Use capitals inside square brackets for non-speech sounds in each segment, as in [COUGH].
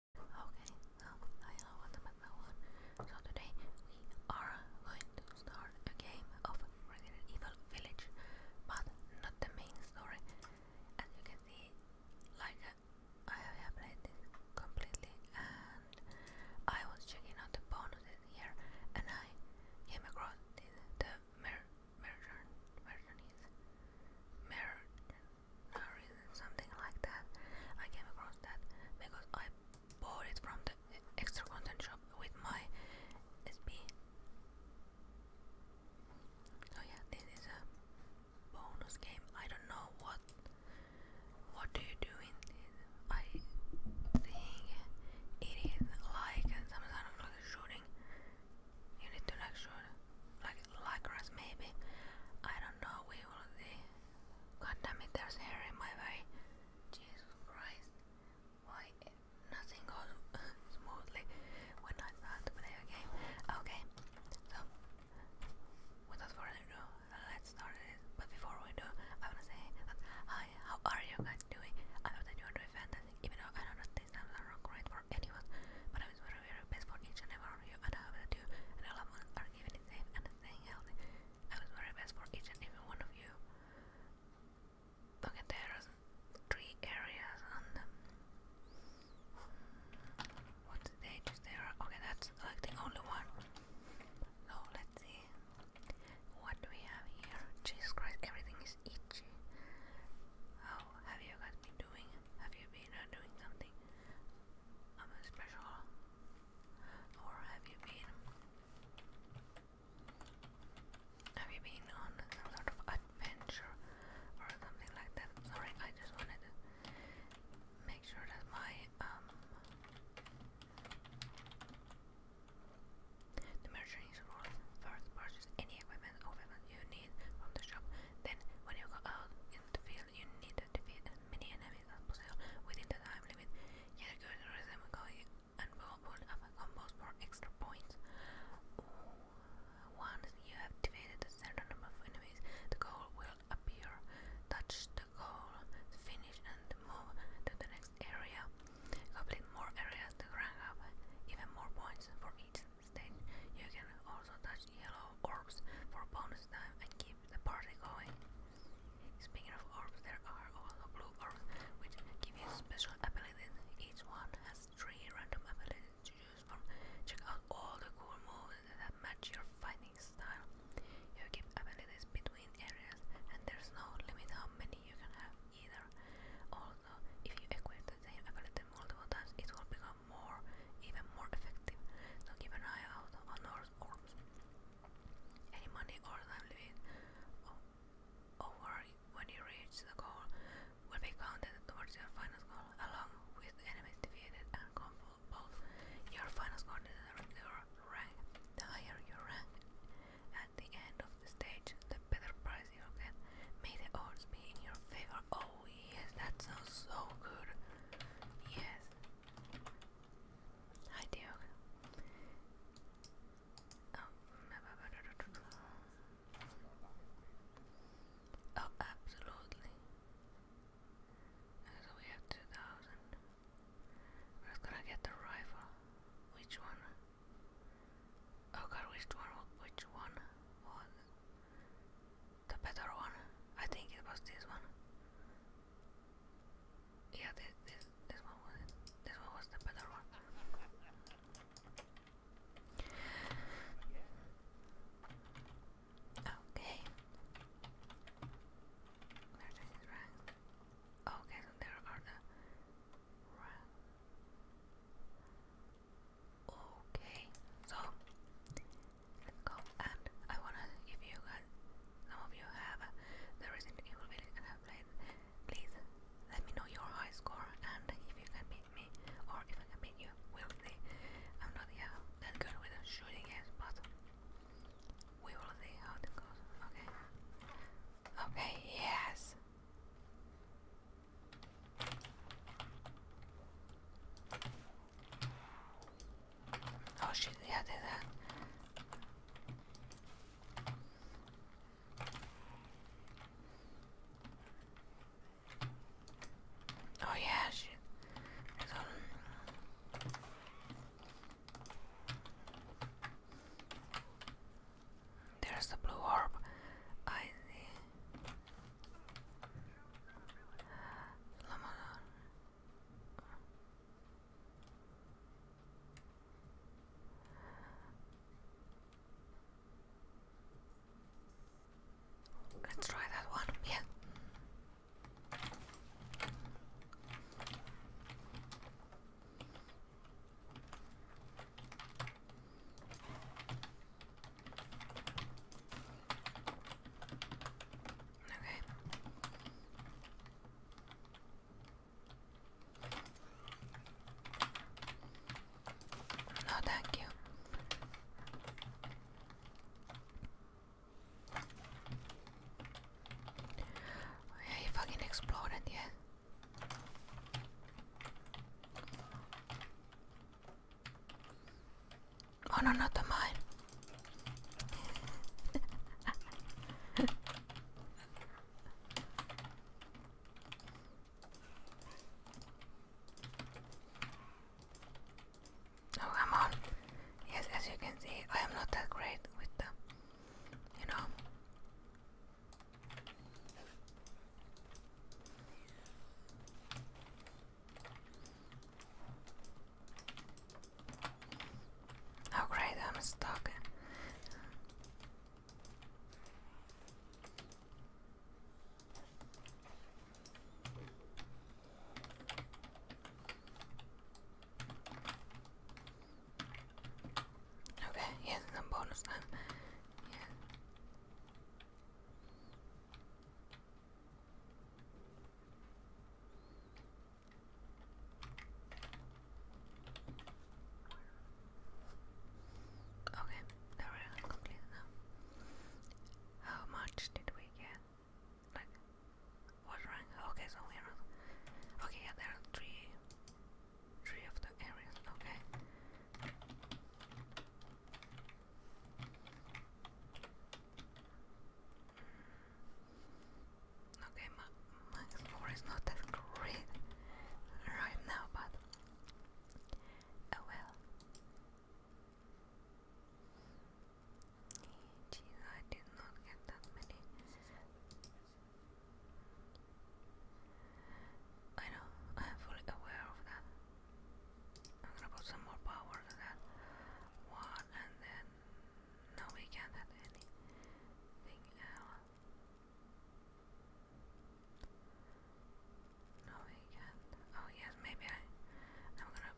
Okay, so hello, welcome back everyone. So today we are going to start a game of Resident Evil Village, but not the main story. As you can see, like I have played this completely, and I was checking out the bonuses here, and I came across this, the mer merchant, merchant is merchant, something like that. I came across that because I bought it from the extra content shop with my SB. So yeah, this is a bonus game. I don't know what what do you doing? I think it is like some kind of shooting. You need to like shoot like lycras maybe. I don't know, we will see. God damn it, there's hair in my way. Jesus Christ, why nothing goes [LAUGHS] smoothly when I start to play a game. Okay, so without further ado, let's start it. But before we do, I wanna say hi, how are you guys doing? I hope that you are doing fantastic, even though I know that these times are not great for anyone, but I'm very, very best for each and every you and I will do and your are keeping it safe and staying healthy. I wish very best for each and every one of you. Okay, there are three areas on what stages there Okay, that's like the only one. So let's see. What do we have here? Jesus Christ, everything is itchy. How have you been doing? Have you been uh, doing something? I'm a special. Or have you been? Have you been on some sort of adventure or something like that? Sorry, I just wanted to make sure that my um the merchant is rules. First, purchase any equipment or weapon you need from the shop. Then, when you go out into the field you need to defeat many enemies as possible within the time limit. Yet good rhythm going and multiple of combos for extra points. Once you have defeated a certain number of enemies, the goal will appear. Touch the goal, finish, and move to the next area. Complete more areas to rank up even more points for each stage. You can also touch yellow orbs for bonus time and keep the party going. Speaking of orbs, there are all the blue orbs which give you special abilities. Each one has three random abilities to choose from. Check out all the cool moves that match your fighting style. You keep abilities between areas and there's no limit how many you can have either. Also, if you equip the same ability multiple times, it will become become more, even more effective. So keep an eye out on our orbs. Any money or time over when you reach the goal will be counted towards your final goal, along with enemies defeated and both your final score determines your rank. The higher your rank at the end of the stage, the better prize you'll get. May the odds be in your favor. Oh yes, that sounds so good. Yes, I do. Oh, absolutely. So we have 2000. We're just gonna get the rifle. Which one? Oh god, which one? Which one was? the better one. I think it was this one. Yeah, this this this one was it. This one was the better one. Okay. Merchant is ranked. Okay, so there are the rank. Okay, so go and I wanna if you guys some of you have uh, the Evil village and have played please let me know your high score and if you can beat me or if I can beat you we'll see I'm not yeah that good with shooting games but we will see how it goes okay okay yes Oh shit, yeah, did that. Oh yeah, shit. There's, the blue orb. I see. Let's try that one, yeah. Okay. No, thank you. Oh, yeah, he fucking exploded, yeah. Oh no, not mine. [LAUGHS] oh, come on. Yes, as you can see, I am not that great with the, you know. Oh great, I'm stuck. Okay, yes, some bonus Okay, now we now. How much did we get? Like, what rank? Okay, so Okay, yeah, there are three, three of the areas. Okay. Okay, my, score is not that great right now, but oh well. I did not get that many. I know, I am fully aware of that. I'm gonna put some more power to that one and then no, we can't add anything else. No, we can't. Oh yes, maybe I. I'm gonna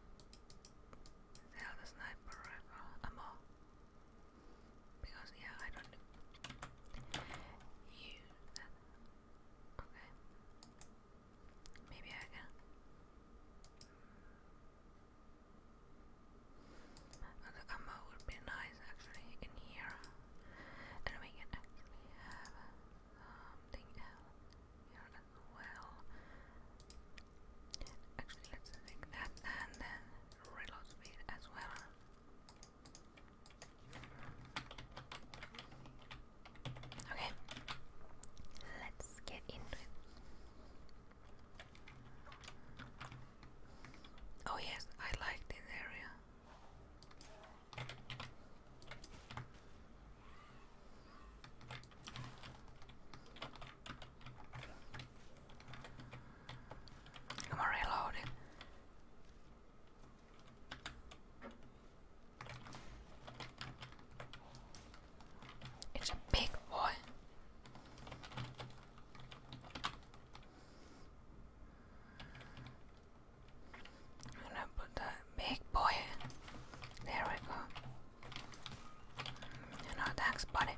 sell the sniper rifle. A Because yeah, I don't use that. Okay. Maybe I can. And the ammo would be nice actually in here. And we can actually have something um, else here as well. Actually, let's take that and then reload speed as well. Okay, let's get into Oh yes, I like this area. I'm reloading. It's a big boy. I'm gonna put that big boy There we go. You know, thanks, buddy.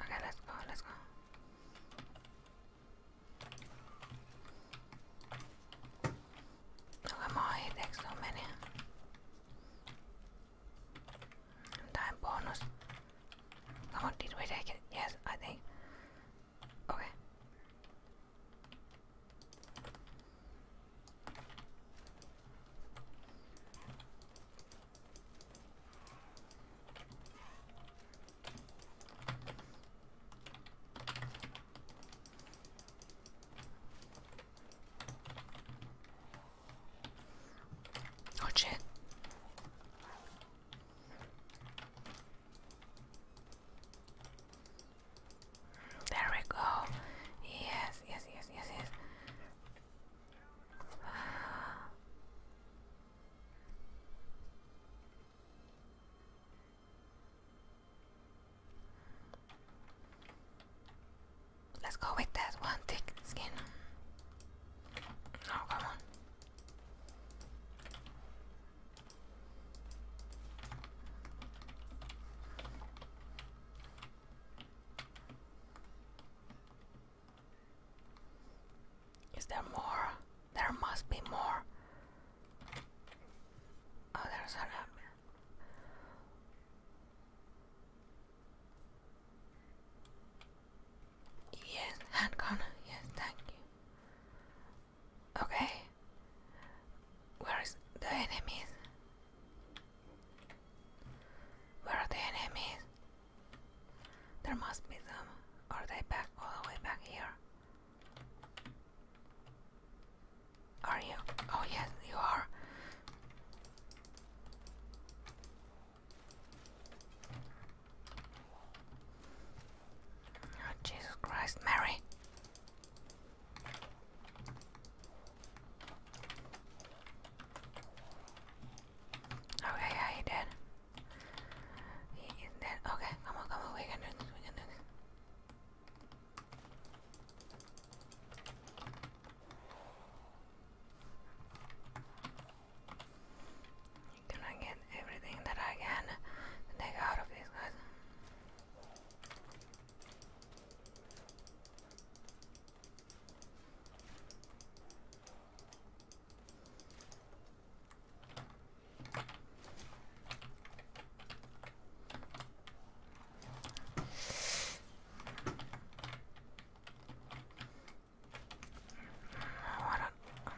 Okay, let's go, let's go. Look at my headaches, so many. Time bonus. Come on, did we take it? Yes, I think. Okay. Oh shit. There we go. Yes, yes, yes, yes, yes. Let's go with that one thick skin. Oh, come on. Is there more? There must be more. Oh, there's another. Yes, hand corner. Yes, thank you. Okay. Where is the enemies? Where are the enemies? There must be some. Are they back all the way back here? Are you? Oh yes, you are. Oh, Jesus Christ, Mary. Okay, yeah, he dead. He is dead. Okay, come on, come on, we can do this, we can do this. Can I get everything that I can take out of these guys? What a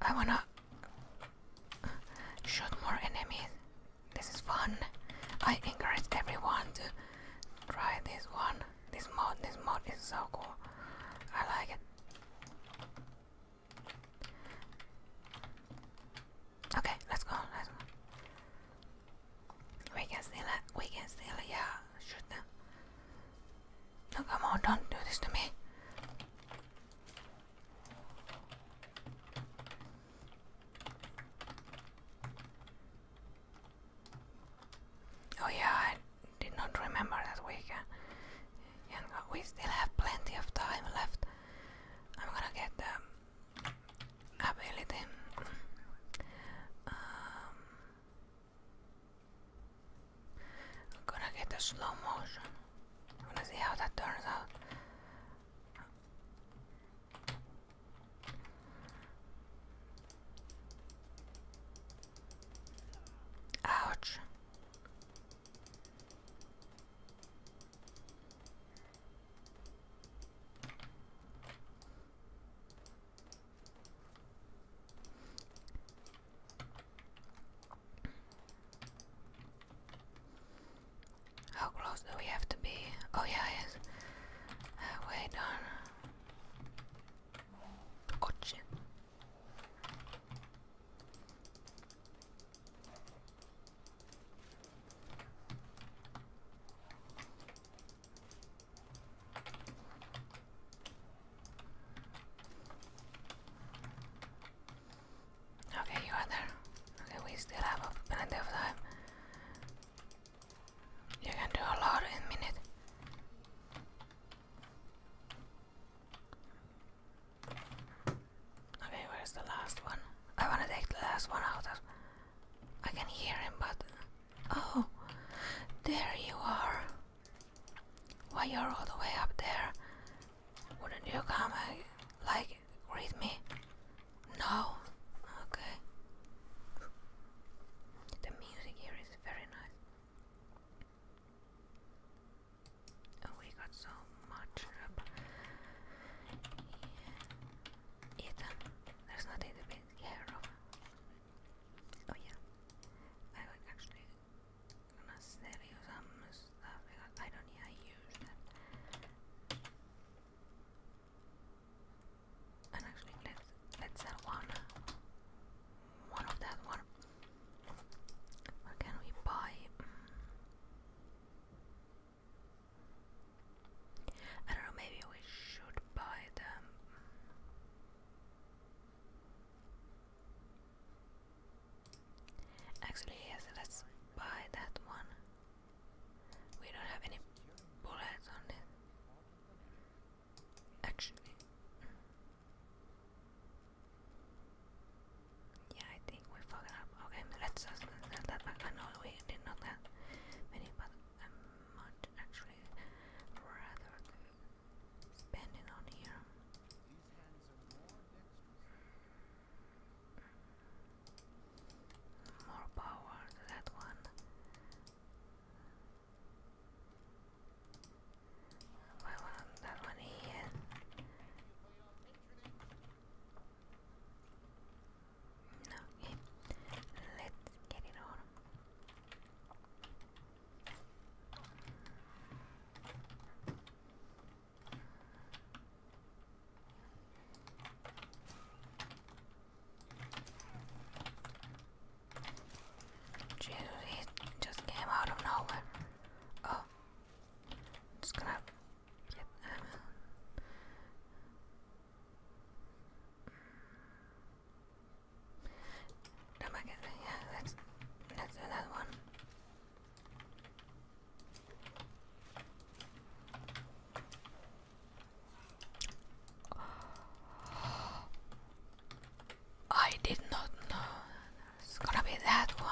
I wanna shoot more enemies. This is fun. I encourage everyone to try this one. This mod, this mod is so cool. I like it. Okay, let's go. Let's go. We can steal it. We can steal it. Yeah, shoot No, come on, don't do this to me. Oh yeah, I did not remember that we And uh, we still have plenty of time left. I'm gonna get the ability. Um, I'm gonna get the slow motion. I'm gonna see how that turns out. Ouch. How close do we have to be? Oh yeah, yes. Uh, wait on. Oh shit. Okay, you are there. Okay, we still have plenty of time. You can do a lot in a minute. Okay, where's the last one? I wanna take the last one out of I can hear him but Oh there you are Why you're all the way up there Wouldn't you come and uh, like greet me? No? Okay The music here is very nice Oh, we got so much up. there's nothing to be scared Oh yeah, I actually gonna sell you some stuff because I don't yeah, use that. And actually, let's let's sell one, one of that one. What can we buy? Mm. I don't know, maybe we should buy them. Actually, yes, let's buy that one. We don't have any bullets on it. Actually, mm. Yeah, I think we fucked Okay, let's set that back. I we did not have many, but i actually rather spending on here. more, power that one. Well, that one here. Okay, let's get it on. Jesus, it just came out of nowhere. Oh, i just gonna. Yep. Um, no magnet. Yeah, let's let's do another one. [GASPS] I did not know it's gonna be that one.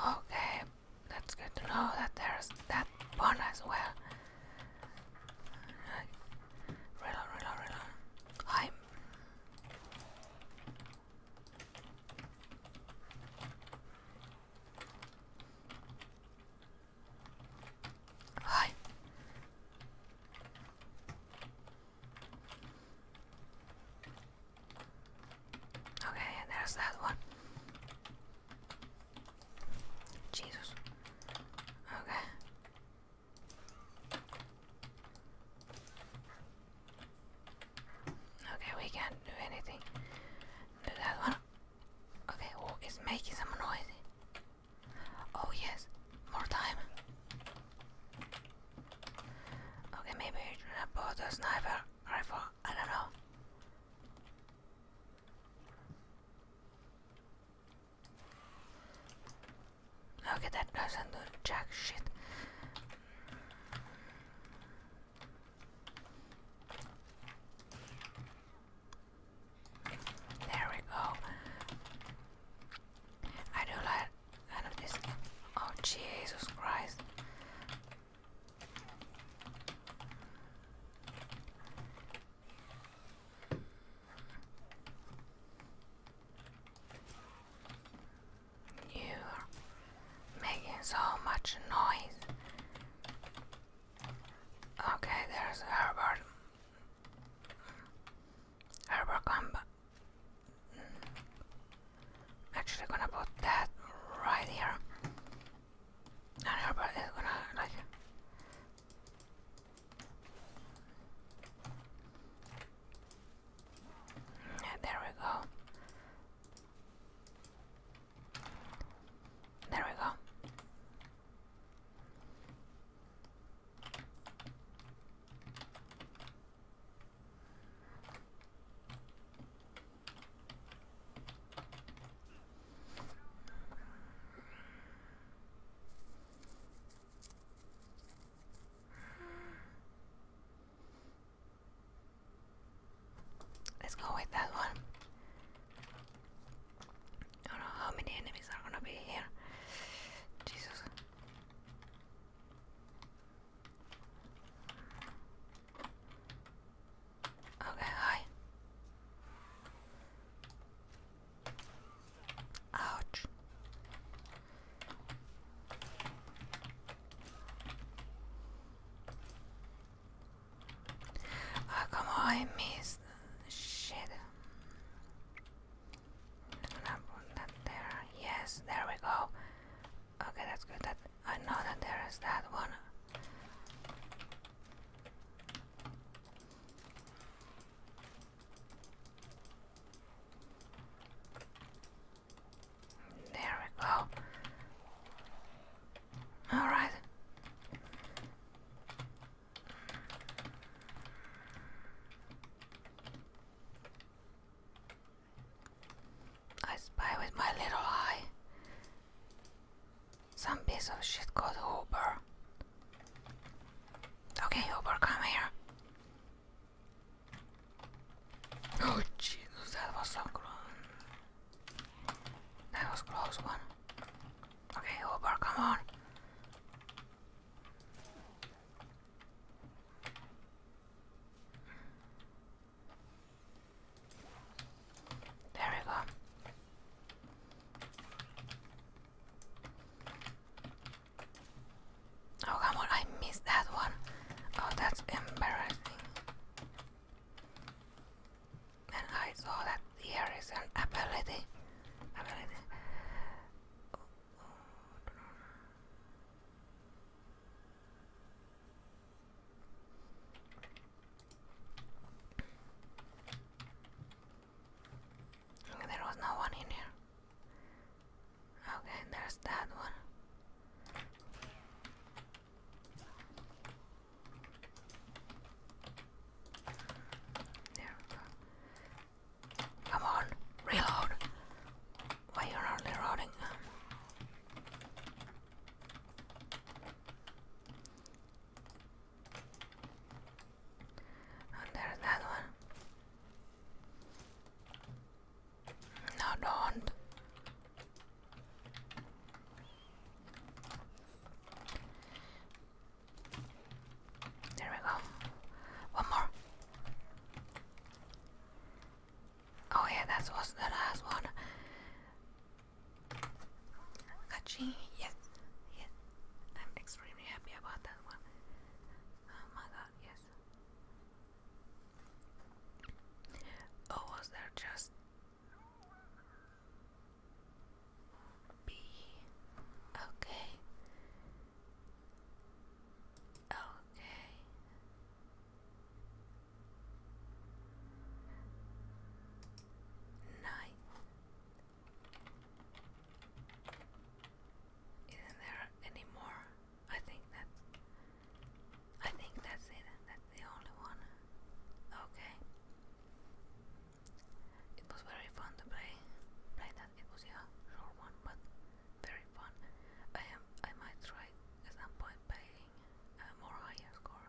Oh, okay, that's good to know that there's that one as well. Reload, reload, reload. i Hi. Okay, there's that one. Jesus. Okay. Okay, we can't do anything. Do that one. Okay, who is making some noise? Oh yes, more time. Okay, maybe I should have bought a sniper rifle. I don't know. Okay, that doesn't do jack shit. There we go. I do like Oh Jesus Christ. You're making so much noise. Okay, there's Herbert. Herbal combat. Mm. Actually, gonna put that right here. And herbal is gonna like. there we go. There we go. Let's go with that one. I don't know how many enemies are gonna be here. Jesus. Okay, hi. Ouch. Oh, come on, I missed. Shit i that there. Yes, there we go. Okay, that's good. That I know that there is that one. There we go. All right. I spy with my little eye. Some piece of shit called Uber. Okay, Uber, come here. Oh Jesus, that was so close. That was close one. Okay, Uber, come on. There we go. Oh, come on, I missed that one. Oh, that's embarrassing. And I saw that here is an Ability. There was no one in here. Okay, there's that one. There Come on, reload. Why you're not reloading? And that one. No, don't. There we go. One more. Oh yeah, that was the last one. Kachi, yes, yes. I'm extremely happy about that one. Oh my god, yes. Oh, was there just B? Okay. Okay. Nine. Isn't there any more? I think that's I think that's it. That's the only one. Okay. It was very fun to play. Play that. It was a short one, but very fun. I am. I might try at some point paying a more higher score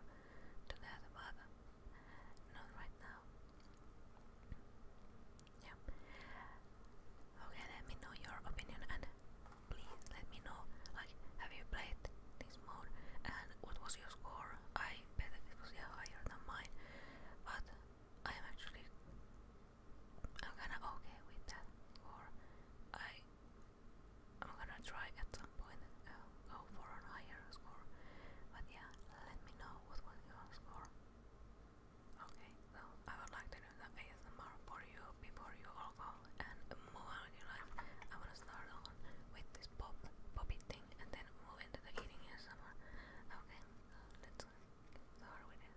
to that, other. not right now. Yeah. Okay, let me know your opinion and please let me know. Like, have you played this mode and what was your score? I bet it was yeah, higher than mine, but I am actually I'm gonna okay with that, or I I'm gonna try at some point uh, go for a higher score. But yeah, let me know what was your score. Okay, so I would like to do the ASMR for you before you all and move on your life. I wanna start on with this pop poppy thing and then move into the eating ASMR. Okay, let's start with it.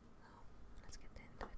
So let's get into it.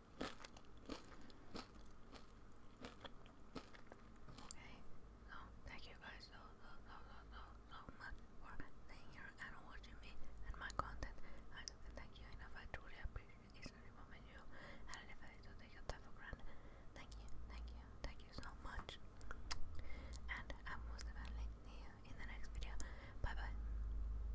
Okay. So thank you guys so so so so so so much for staying here and watching me and my content. I can't thank you enough. I truly appreciate every moment you and if I do take your time for granted. Thank you, thank you, thank you so much. And I will see you in the next video. Bye bye.